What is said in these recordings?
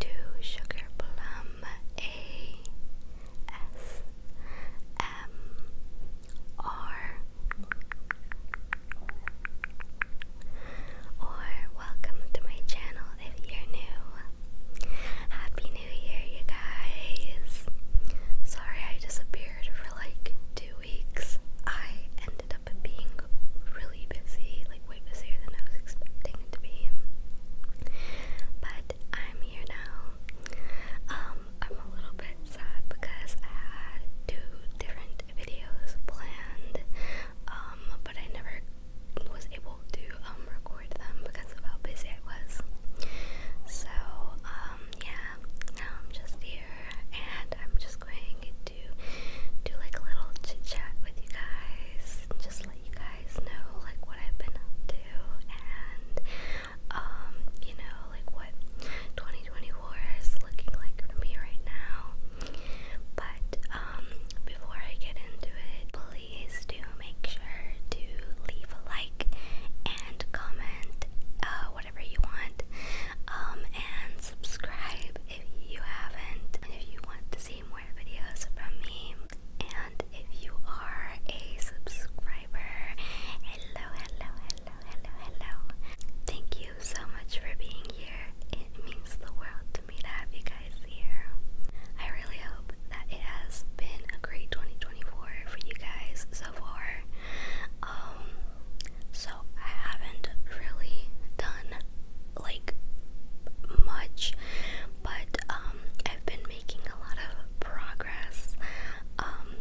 to Sugar Plum A S M R or welcome to my channel if you're new. Happy New Year you guys. Sorry I disappeared for like two weeks. I ended up being really busy way busier than I was expecting it to be. But I'm here now. Um, I'm a little bit sad because I had two different videos planned, um, but I never was able to um, record them because of how busy I was. So, yeah, now I'm just here and I'm just going to do like a little chit chat with you guys, just let you guys know like what I've been up to and um you know like what 2024 is looking like for me right now. But um before I get into it, please do make sure to leave a like and comment uh, whatever you want um and subscribe if you haven't, if you want to see more videos from me, and if you are a subscriber, hello, hello, hello, hello, hello. Thank you so much for being here. It means the world to me to have you guys here. I really hope that it has been a great 2024 for you guys so far. Um, so I haven't really done like much, but um, I've been making a lot of progress. Um,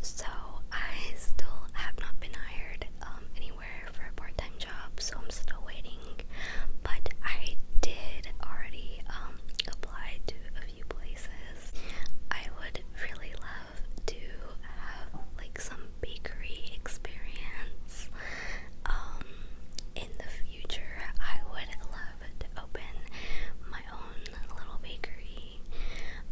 so I still have not been hired um, anywhere for a part-time job, so I'm still waiting. But I did already apply to a few places. I would really love to have like some bakery experience. Um, in the future, I would love to open my own little bakery.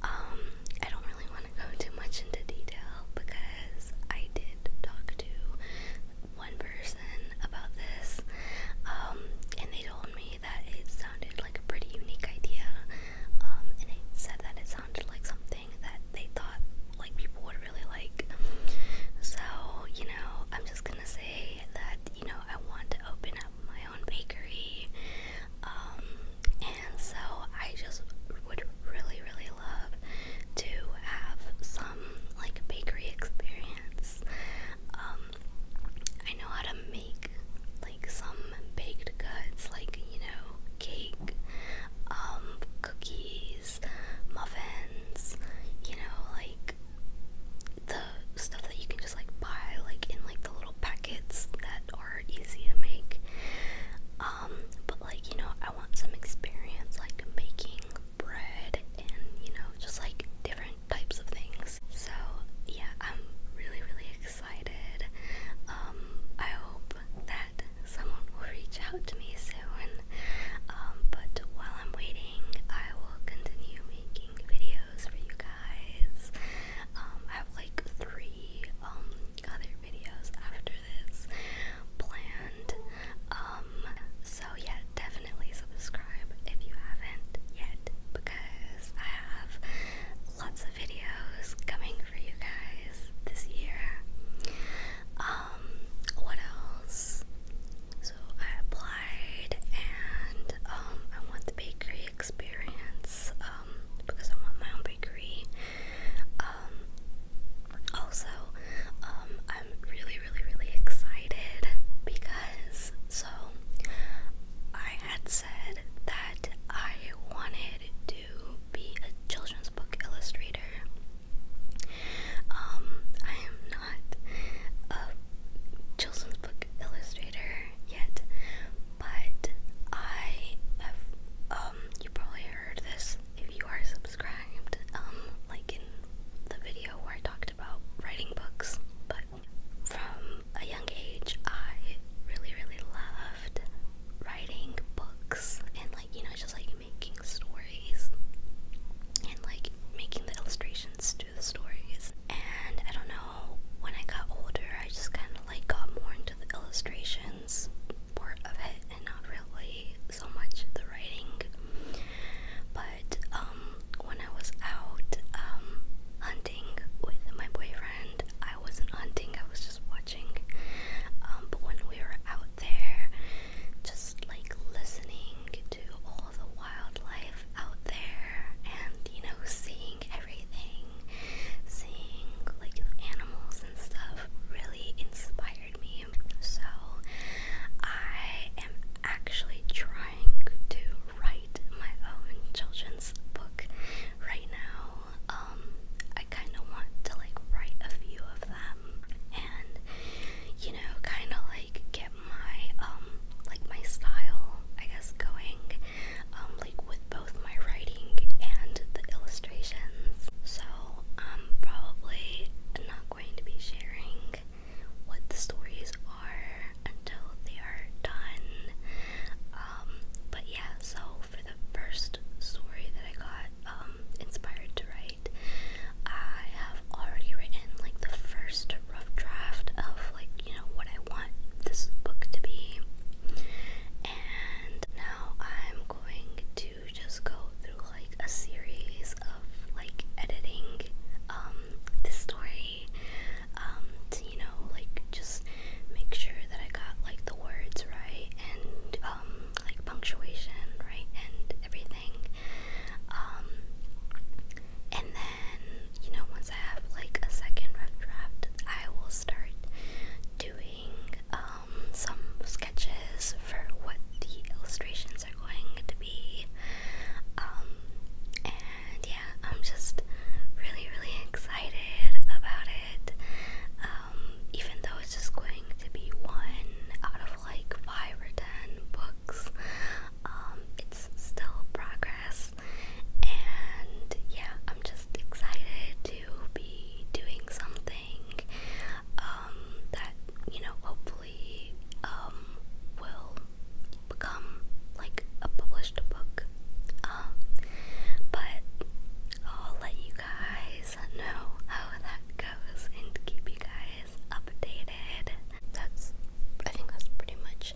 Um, I don't really want to go too much into detail because I did talk to one person about this, um, and they told me that it sounded like a pretty unique idea. and it said that it sounded like something that they thought like people would really like. So, you know, I'm just gonna say that, you know, I want to open up my own bakery. Um, and so I just would really, really love to have some like bakery experience. Um, I know how to make like some baked goods, like you know, cake, um, cookies, muffins, you know, like the stuff that you can just like buy like in like the little packets that are easy to make. Um, but like, you know, I want some experience like making bread and, you know, just like different types of things. So yeah, I'm really, really excited. Um, I hope that someone will reach out to me soon. Um, but while I'm waiting, I will continue making videos for you guys. Um, I have like three um, other videos after this planned. so yeah, definitely subscribe if you haven't yet because I have lots videos coming for you guys this year. Um, what else? So I applied and um, I want the bakery experience um, because I want my own bakery. also I'm really really really excited because so I had said that I wanted to to be a children's book illustrator. Um, I am not a children's book illustrator yet, but I have, um, you probably heard this if you are subscribed, um, like in the video where I talked about writing books, but from a young age, I really, really loved writing books and like you know just like making stories and like making the illustrations to the stories and I don't know when I got older I just kind of like got more into the illustrations part of it and not really so much the writing but um when I was out um hunting with my boyfriend I wasn't hunting I was just watching um, but when we were out there, just like listening to all the wildlife out there and you know, seeing everything, seeing like animals and stuff really inspired me. So I am actually trying to write my own children's book right now um, I kind of want to like write a few of them and you know kind of like get my um like my style I guess going um like with both my writing and the illustrations. So I'm probably not going to be sharing what the stories are until they are done. Um but yeah, so the first story that I got um, inspired to write, I have already written like the first rough draft of like you know what I want this book to be, and now I'm going to just go through like a series of like editing um, this story um, to you know like just make sure that I got like the words right and um, like punctuation right and everything. Um, and then you know once I have like a second rough draft, I will start doing um, some sketches for what the illustrations are going to be. and yeah, I'm just really, really excited about it. Um, even though it's just going to be one out of like five or ten books, um, it's still progress. And yeah, I'm just excited to be doing something um, that you know hopefully will become like a published book. Um, but I'll let you guys know how that goes and keep you guys updated. That's I think that's pretty much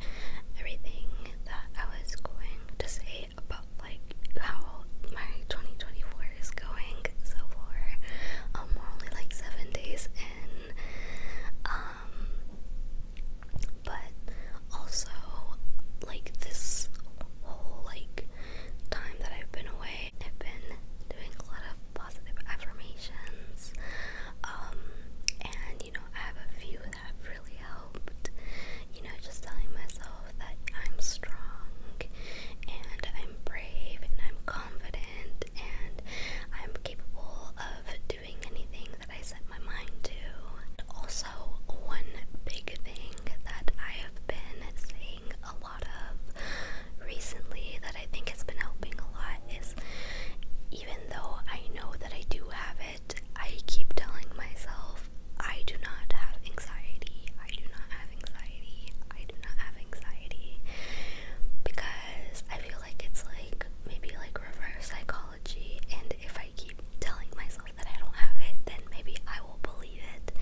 everything that I was going to say about like how my 2024 is going so far. Um, we're only like seven days in. Um, but also, like this whole like time that I've been away, I've been doing a lot of positive affirmations. Um, and you know, I have a few that have really helped. You know, just telling myself that I'm strong and I'm brave and I'm confident and I'm capable of doing anything I set my mind to. Also, one big thing that I have been seeing a lot of recently that I think has been helping a lot is even though I know that I do have it, I keep telling myself I do not have anxiety. I do not have anxiety. I do not have anxiety because I feel like it's like maybe like reverse psychology and if I keep telling myself that I don't have it, then maybe I will believe it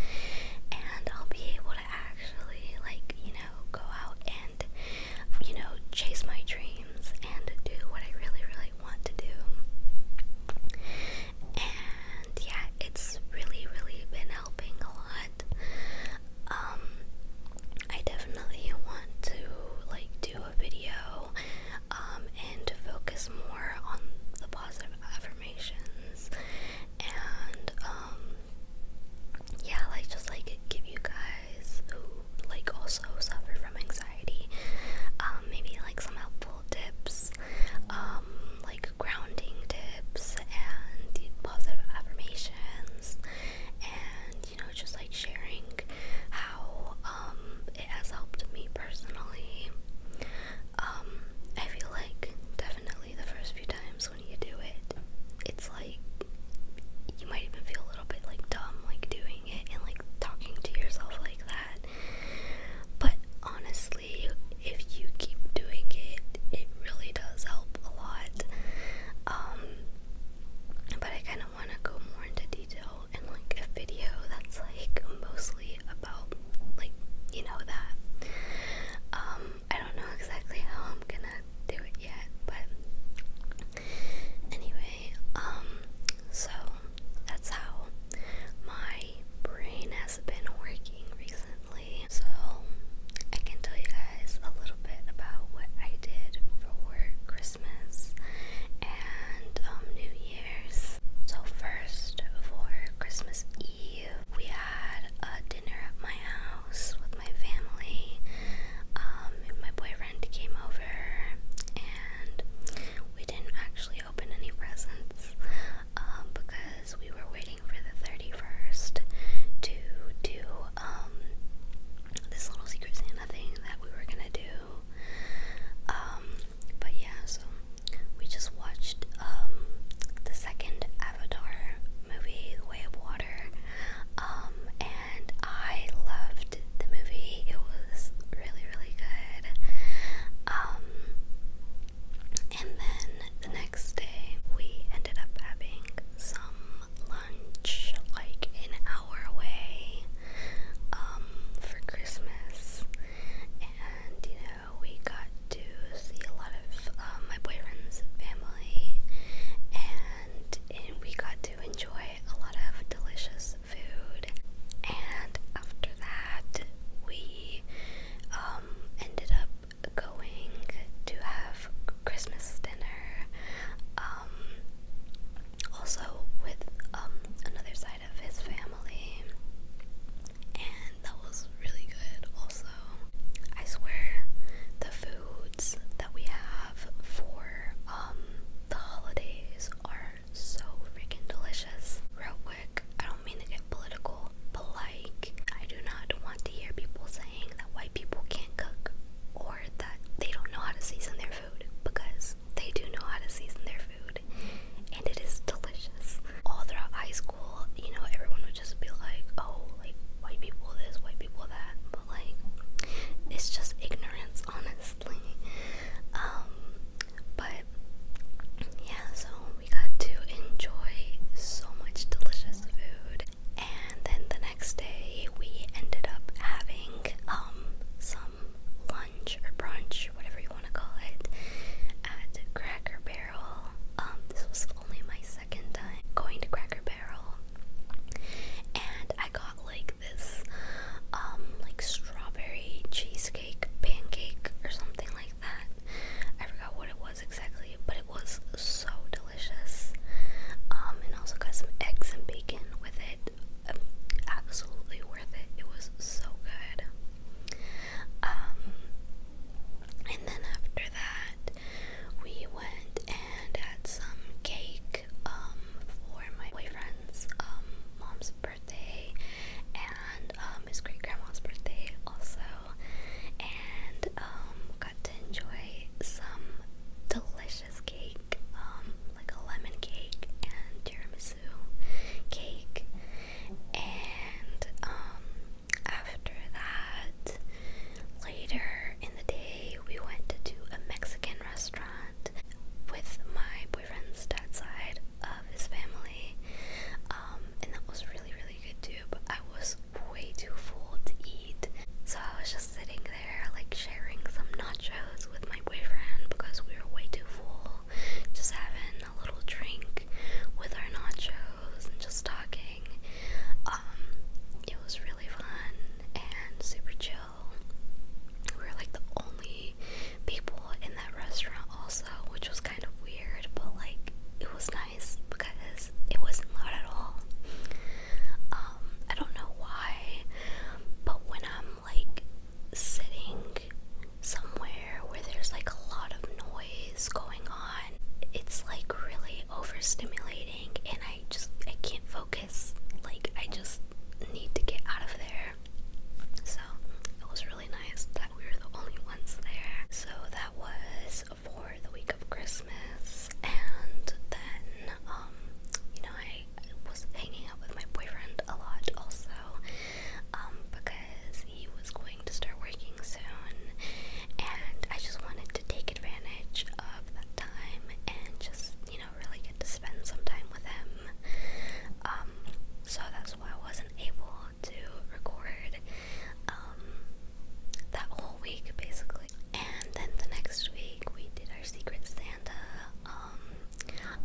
and I'll be able to actually, like, you know, go out and, you know, chase my dreams and do what I really, really want to do. And yeah, it's really, really been helping a lot. Um, I definitely want to, like, do video um, and focus more on the positive affirmations and um yeah like just like give you guys who like also suffer from anxiety um maybe like some helpful tips um like grounding tips and positive affirmations and you know just like sharing how um it has helped me personally. Um, I feel like definitely the first few times when you do it, it's like you might even feel a little bit like dumb, like doing it and like talking to yourself like that. But honestly, if you keep doing it, it really does help a lot. Um, but I kind of I want to go more into detail in like a video that's like mostly about like you know that. Um, I don't know exactly how I'm gonna do it yet, but anyway, um, so that's how my brain has been working recently. So I can tell you guys a little bit about what I did for Christmas. Christmas and um, New Year's. So, first for Christmas Eve, we had a dinner at my house with my family. Um, my boyfriend came over and we didn't actually open any presents um, because we were waiting for the 31st to do um, this little Secret Santa thing that we were gonna do um, but yeah, so we just watched um, the second Avatar movie, Way of Water. Um, and I loved the movie. It was really, really good. and then the next day, we ended up having some lunch like an hour away. Um, for Christmas, and you know we got to see a lot of um, my boyfriend's family, and, we got to enjoy a lot of delicious food. And after that, we um, ended up going to have Christmas dinner also with um another side of his family and that was really good also I swear the foods that we have for um the holidays are so freaking delicious real quick I don't mean to get political but like I do not want to hear people saying that white people can't cook or that they don't know how to season their food because they do know how to season their food, and it is delicious. All throughout high school, you know, everyone would just be like, oh, like white people this, white people that, but like, it's just ignorance, honestly. Um, but yeah, so we got to enjoy so much delicious food, and then the next day we ended up having um some um, lunch or brunch, whatever you want to call it, at Cracker Barrel. Um, this was only my second time going to Cracker Barrel, and I got like this, um, like strawberry cheesecake pancake or something like that. I forgot what it was exactly, but it was so delicious. Um, and also got some eggs and bacon with it absolutely worth it. It was so good. Um, and then after that, we went and had some cake um, for my boyfriend's um, mom's birthday and his great grandma's birthday also, and got to enjoy some delicious luscious cake, um, like a lemon cake and tiramisu cake, and um, after that, later in the day, we went to a Mexican restaurant with my boyfriend's dad's side of his family, um, and that was really, really good too. But I was way too full to eat, so I was just sitting like sharing some nachos with my boyfriend because we were way too full. Just having a little drink with our nachos and just talking. Um, it was really fun and super chill. We were like the only people in that restaurant, also, which was kind of weird, but like it was nice because it wasn't loud at all. Um, I don't know why but when I'm like sitting somewhere where there's like a lot of noise going on, it's like really overstimulating and I just I can't focus. Like I just need to get out of there. So it was really nice that we were the only ones there. So that was for the week of Christmas and then um, you know I I was hanging out with my boyfriend a lot also um, because he was going to start working soon and I just wanted to take advantage of that time and just, you know, really get to spend some time with him. Um, so that's why I wasn't able to record um, that whole week basically. And then the next week we did our Secret Santa. Um,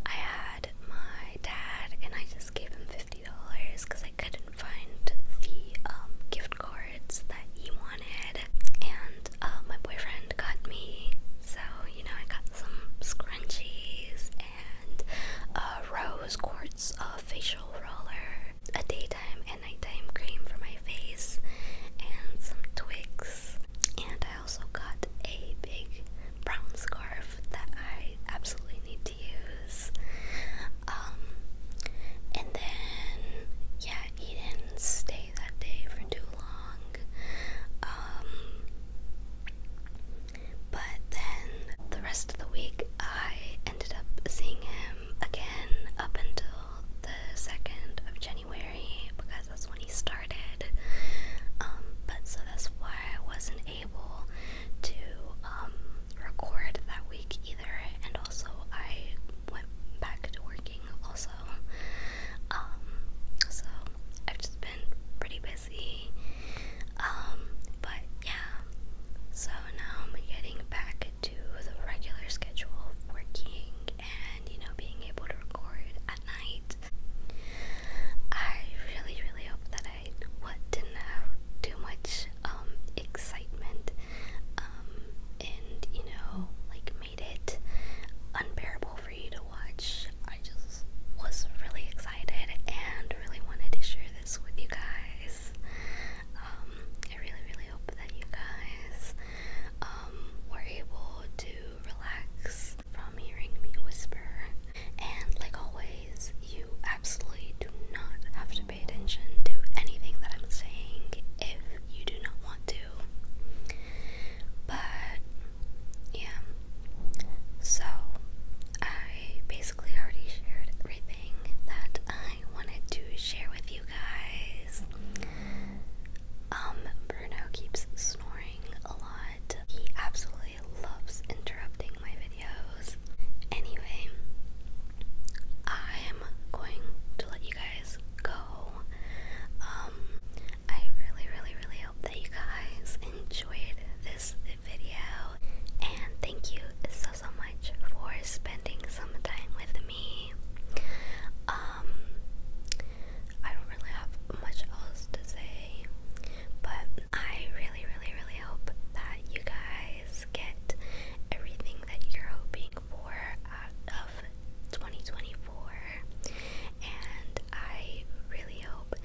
I had my dad, and I just gave him fifty dollars because I couldn't find the um, gift cards that he wanted. And uh, my boyfriend got me, so you know I got some scrunchies and a rose quartz uh, facial roller, a daytime and nighttime cream for my face, and some Twix. And I also got a big brown scarf that I absolutely need to use. Um, and then, yeah, he did that day for too long. Um, but then the rest of the week, I ended up seeing him again up until the 2nd of January because that's when he started. Um, but so that's why I wasn't able to um, record that week either, and also I went back to working also. Um, so I've just been pretty busy. but yeah, so now I'm getting back to the regular schedule of working and you know being able to record at night. I really really hope that I what didn't have too much um, excitement um, and you know like made it unbearable for you to watch. I just was really excited and really wanted to share this with you guys. Um, I really, really hope that you guys um, were able to relax from hearing me whisper. And like always, you absolutely do not have to pay attention to anything that I'm saying if you do not want to. But yeah. So I basically already shared everything that I I wanted to share with you guys. Um, Bruno keeps snoring a lot. He absolutely loves interrupting my videos. Anyway, I'm going to let you guys go. Um, I really, really, really hope that you guys enjoyed this video. And thank you so, so much for spending some time with me me. Um, I don't really have much else to say, but I really, really, really hope that you guys get everything that you're hoping for out of 2024, and I really hope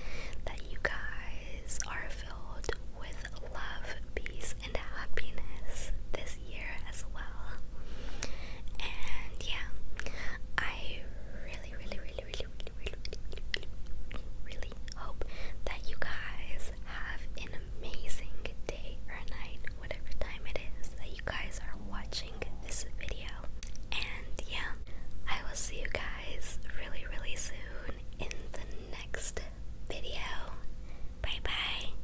that you guys are filled with love, peace, and happiness this year as well. And yeah, I really, really, really, really, really, really, hope that you guys have an amazing day or night, whatever time it is that you guys are watching this video. And yeah, I will see you guys really, really soon in the next video. Bye bye.